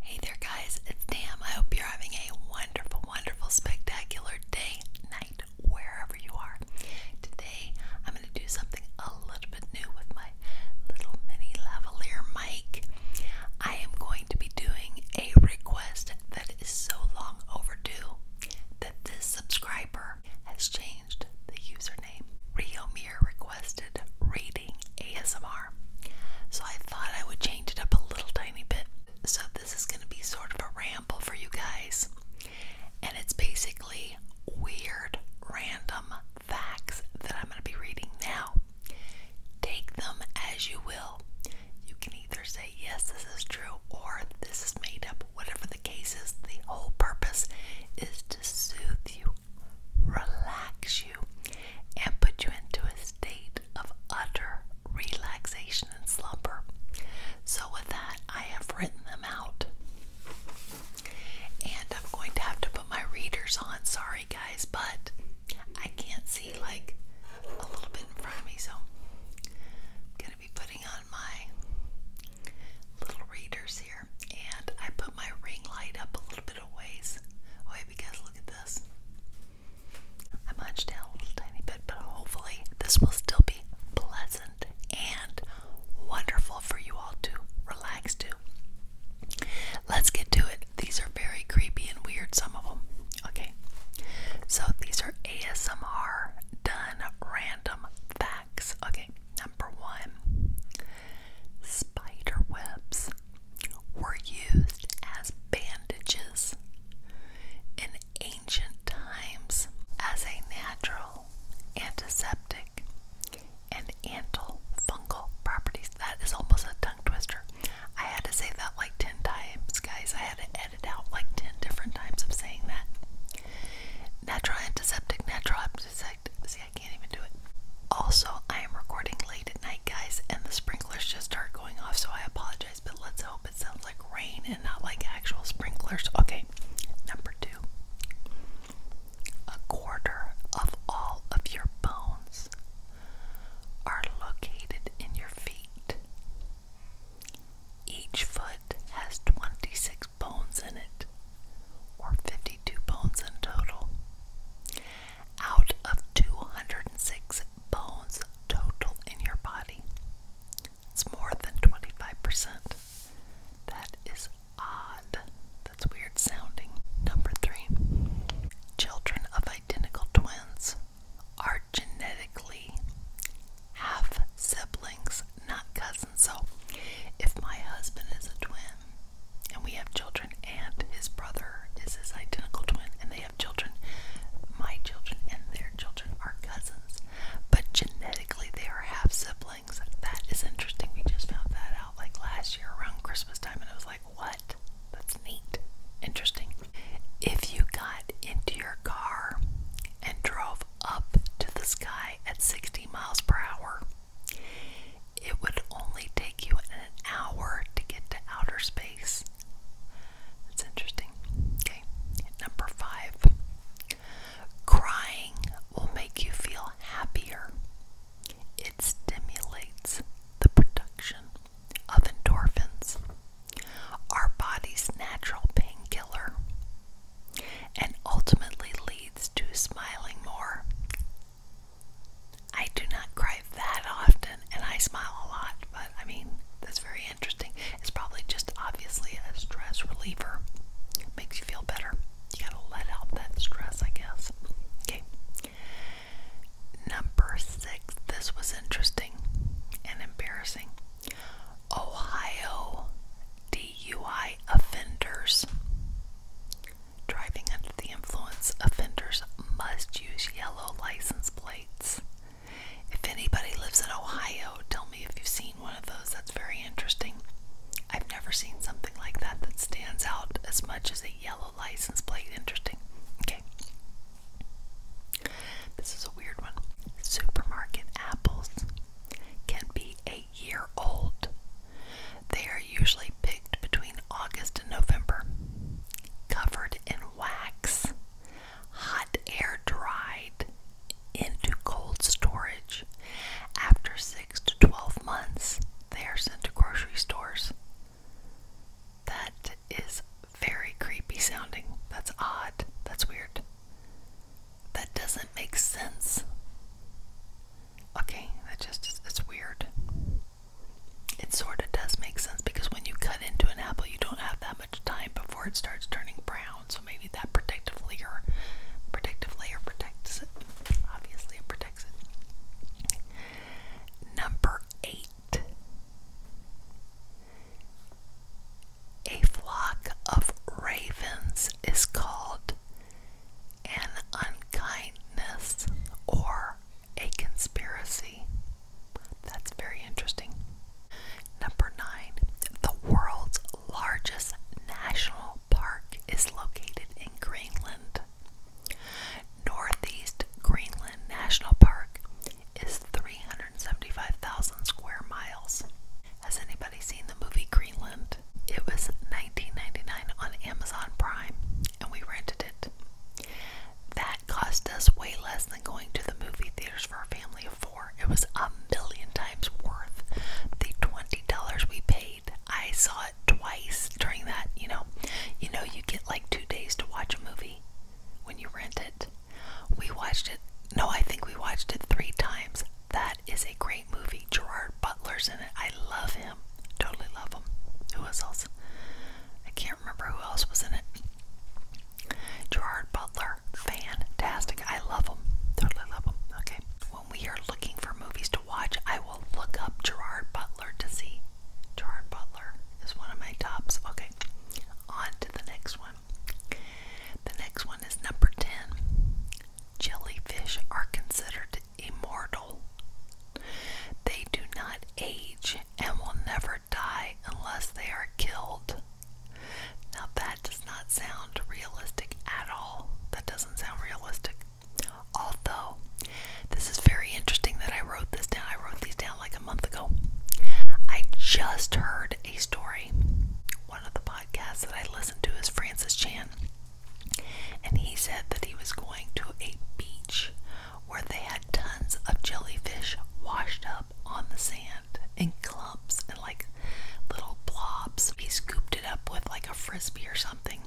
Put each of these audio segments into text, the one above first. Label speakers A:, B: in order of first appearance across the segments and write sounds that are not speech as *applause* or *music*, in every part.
A: Hey there, guys, it's Tam. I hope you're having a wonderful, wonderful, spectacular day, night, wherever you are. Today, I'm going to do something a little bit new with my little mini lavalier mic. I am going to be doing a request that is so long overdue that this subscriber has changed the username. Riomir requested reading ASMR. So I thought I would change it up a little tiny bit. So this is going to be sort of a ramble for you guys. And it's basically weird, random facts that I'm going to be reading now. Take them as you will. You can either say, yes, this is true, or this is made up. Whatever the case is, the whole purpose is to soothe you, relax you and put you into a state of utter relaxation and slumber. So, with that, I have written them out. And I'm going to have to put my readers on. Sorry, guys, but I can't see like a little bit in front of me, so I'm going to be putting on my little readers here. And I put my ring light up a little bit of ways because look at this. I munched down a little tiny bit, but hopefully this will still be pleasant and wonderful for you all to relax to. Let's get to it. These are very creepy and weird, some of them. Okay, so these are ASMR done random facts. Okay, number one Spider webs were used as bandages in ancient times as a natural antiseptic and antifungal properties. That is almost a tongue twister. I had to say that like 10 times, guys. I had to edit out like 10 different times of saying that. Natural antiseptic, natural antiseptic. See, I can't even do it. Also, I am recording late at night, guys, and the sprinklers just start going off, so I apologize, but let's hope it sounds like rain and not like actual sprinklers. Okay, number two. A quarter of all of your bones are located in your feet. Each foot has 26 bones in it, or 52 bones in total out of 206 bones total in your body. It's more than 25%. That is odd. That's weird sounding. Number three, children of identical twins are genetically half siblings, not cousins. So if my husband is a twin and we have children, and his brother is his identical twin, and they have children. My children and their children are cousins, but genetically they are half siblings. That is interesting. We just found that out like last year around Christmas time, and I was like, what? That's neat. Interesting. If you got into your car and drove up to the sky at 60 miles per hour, it would only take you an hour to get to outer space. That's interesting. Okay, number five. Crying will make you feel happier. It stimulates the production of endorphins, our body's natural painkiller, and ultimately leads to smiling more. I do not cry that often, and I smile a lot, but I mean, that's very interesting. It's probably just obviously a stress reliever. Makes you feel better. You gotta let out that stress, I guess. Okay. Number six. This was interesting and embarrassing. Ohio DUI offenders. Driving under the influence, offenders must use yellow license plates. If anybody lives in Ohio, tell me if you've seen one of those. That's very interesting. I've never seen something like that that stands out as much as a yellow license plate. Interesting. Okay. This is a weird one. Supermarket apples can be a year old they are usually picked between August and November, covered in wax, hot air dried into cold storage. After 6 to 12 months, they are sent to grocery stores. That is very creepy sounding. That's odd. That's weird. That doesn't make sense. Okay, that just it's weird. It sort of does make sense because when you cut into an apple, you don't have that much time before it starts turning brown. So maybe that protective layer, protective layer protects it. Obviously, it protects it. Number eight, a flock of ravens is called an unkindness, or a conspiracy. That's very interesting. Number nine, the world's largest national park is located in Greenland. Northeast Greenland National Park is 375,000 square miles. Has anybody seen the movie Greenland? it. was $19.99 on Amazon Prime, and we rented it. That cost us way less than going to the movie theaters for a family of four. It was a million times worth the $20 we paid. I saw it twice during that, you know. You know, you get like two days to watch a movie when you rent it. We watched it, no, I think we watched it three times. That is a great movie. Gerard Butler's in it. I love him. Totally love him. Who else? I can't remember who else was in it. Gerard Butler. Fantastic. I love him. Totally love him. Okay. When we are looking for movies to watch, I will look up Gerard Butler to see. Gerard Butler is one of my tops. Okay. On to the next one. The next one is number 10. Jellyfish are considered immortal. They do not age and will never die unless they are killed. Now, that does not sound realistic at all. That doesn't sound realistic. Although, this is very interesting that I wrote this down. I wrote these down like a month ago. I just heard a story. One of the podcasts that I listened to is Francis Chan. And he said that he was going to a beach where they had tons of jellyfish washed up on the sand in clumps and like little blobs. He scooped it up with like a frisbee or something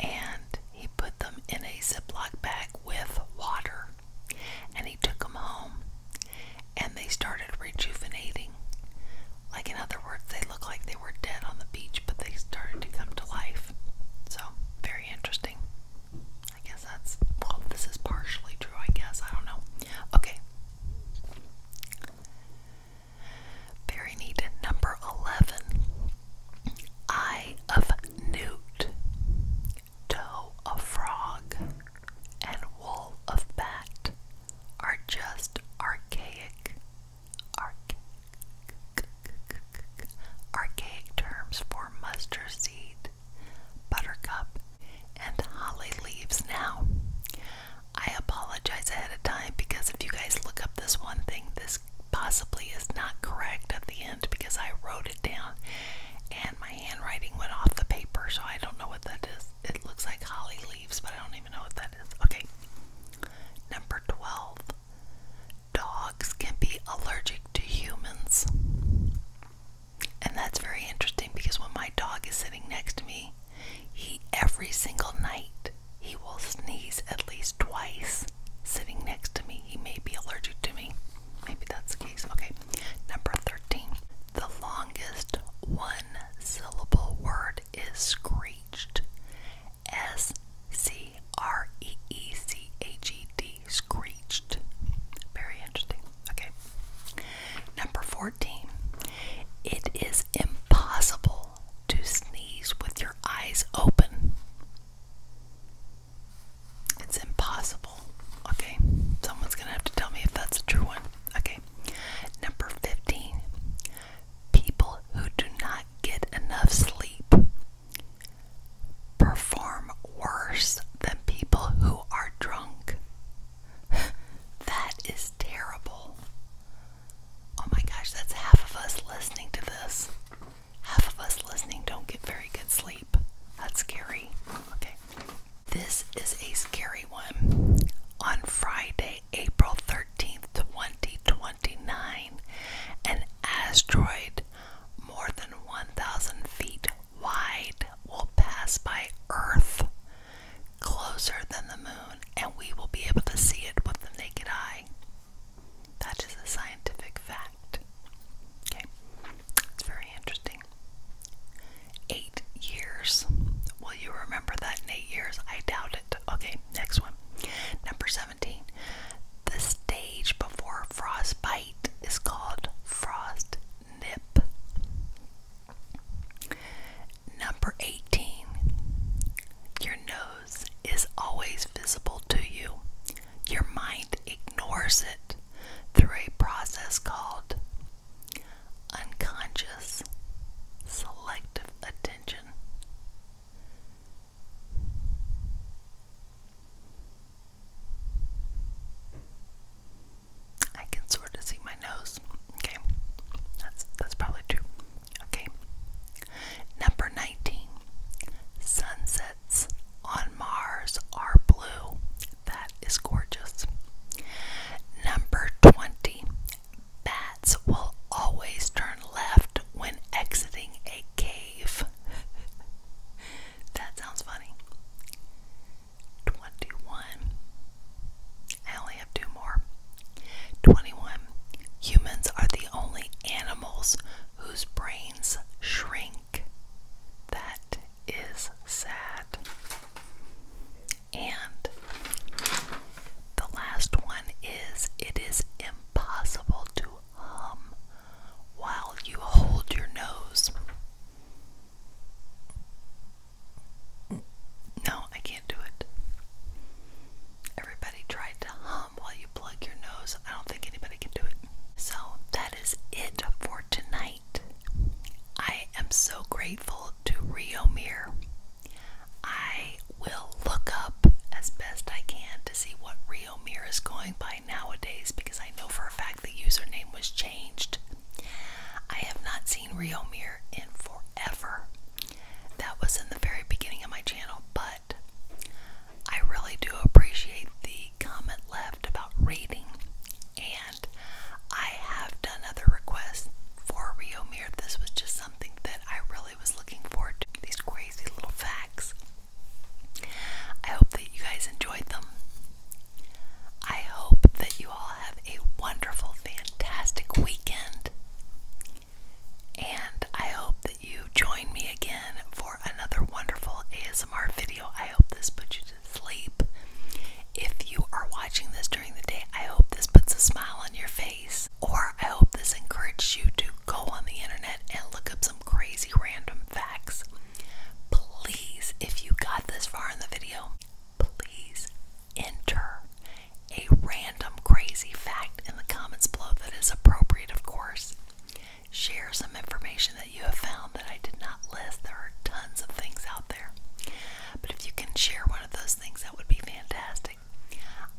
A: and he put them in a Ziploc bag with water and he took them home and they started rejuvenating. Like, in other words, they look like they were dead on the beach, but they started to come to life. So, very interesting. I guess that's, well, this is partially true, I guess. I don't know. Okay. Very neat. Number 11 Eye of Newt, Toe of Frog, and Wool of Bat are just archaic archaic, terms for mustard seed, buttercup, and holly leaves. Now, I apologize ahead of time because if you guys look up this one thing, this possibly is not correct at the end because I wrote it down and my handwriting went off the paper, so I don't know what that is. It looks like holly leaves, but I don't do know what that is. Okay. Number 12. Dogs can be allergic to humans. And that's very interesting because when my dog is sitting next to me, he every single night he will sneeze at least twice sitting next to me. He may be allergic to me. Maybe that's the case. Okay. Number 13. The longest one syllable word is screeched. S C R E E C H E D, screeched. Very interesting. Okay. Number 14. It is impossible to sneeze with your eyes open. It's impossible. Okay. Someone's going to have to tell me if that's a true one. Okay. Number 15. People who do not get enough sleep perform worse than people who are drunk. *laughs* that is terrible. Oh my gosh, that's half of us listening to this. Half of us listening don't get very good sleep. That's scary. Okay. This is a scary one. On Friday, April 13th, 2029, an asteroid more than 1,000 feet wide will pass by Earth closer than the moon, and we will be able to see it with the naked eye. That is a scientific fact. Okay, it's very interesting. Eight years. Will you remember that in eight years? I doubt it. Okay, next one. Number 17. The stage before frostbite is called frost nip. Number 18. Your nose is always visible to you. Your mind ignores it through a process called unconscious selective attention. I can sort of see my nose. Okay. That's that's probably true. Okay. Number 19. Sunsets on Mars are blue. That is gorgeous. Number 20. Bats will always turn left when exiting a cave. *laughs* that sounds funny. 21. I only have two more. 21. Humans are the only animals whose brains shrink. That is sad. And the last one is it is impossible to hum while you hold your nose. No, I can't do it. Everybody tried to hum while you plug your nose. I don't think anybody can do it. So that is it for tonight. I am so grateful to Rio Mir I will look up as best I can to see what Rio Mir is going by nowadays because I know for a fact the username was changed. I have not seen Rio Mir in forever. That was in the very beginning of my channel, but I really do appreciate the comment left about reading, and I have done other requests for Rio Mir. This was just something that I really was looking forward These crazy little facts. I hope that you guys enjoyed them. I hope that you all have a wonderful, fantastic weekend. And I hope that you join me again for another wonderful ASMR video. I hope this puts you to sleep. If you are watching this during the day, I hope this puts a smile on your face. Or I hope this encouraged you to go on the internet and look up some crazy random facts. Please, if you got this far in the video, please enter a random crazy fact in the comments below that is appropriate, of course. Share some information that you have found that I did not list. There are tons of things out there. But if you can share one of those things, that would be fantastic.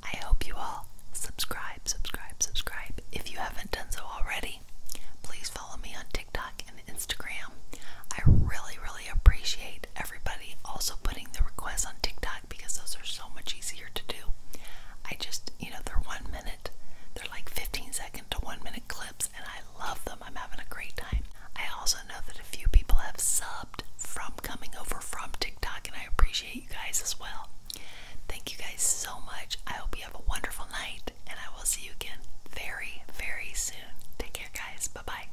A: I hope you all subscribe, subscribe, subscribe. If you haven't done so already, please follow me on TikTok and Instagram. I really, really appreciate everybody also putting the requests on TikTok because those are so much easier to do. I just, you know, they're one minute, they're like 15 second to one minute clips, and I love them. I'm having a great time. I also know that a few people have subbed from coming over from TikTok, and I appreciate you guys as well. Thank you guys so much. I hope you have a wonderful night, and I will see you again very, very soon. Take care, guys. Bye bye.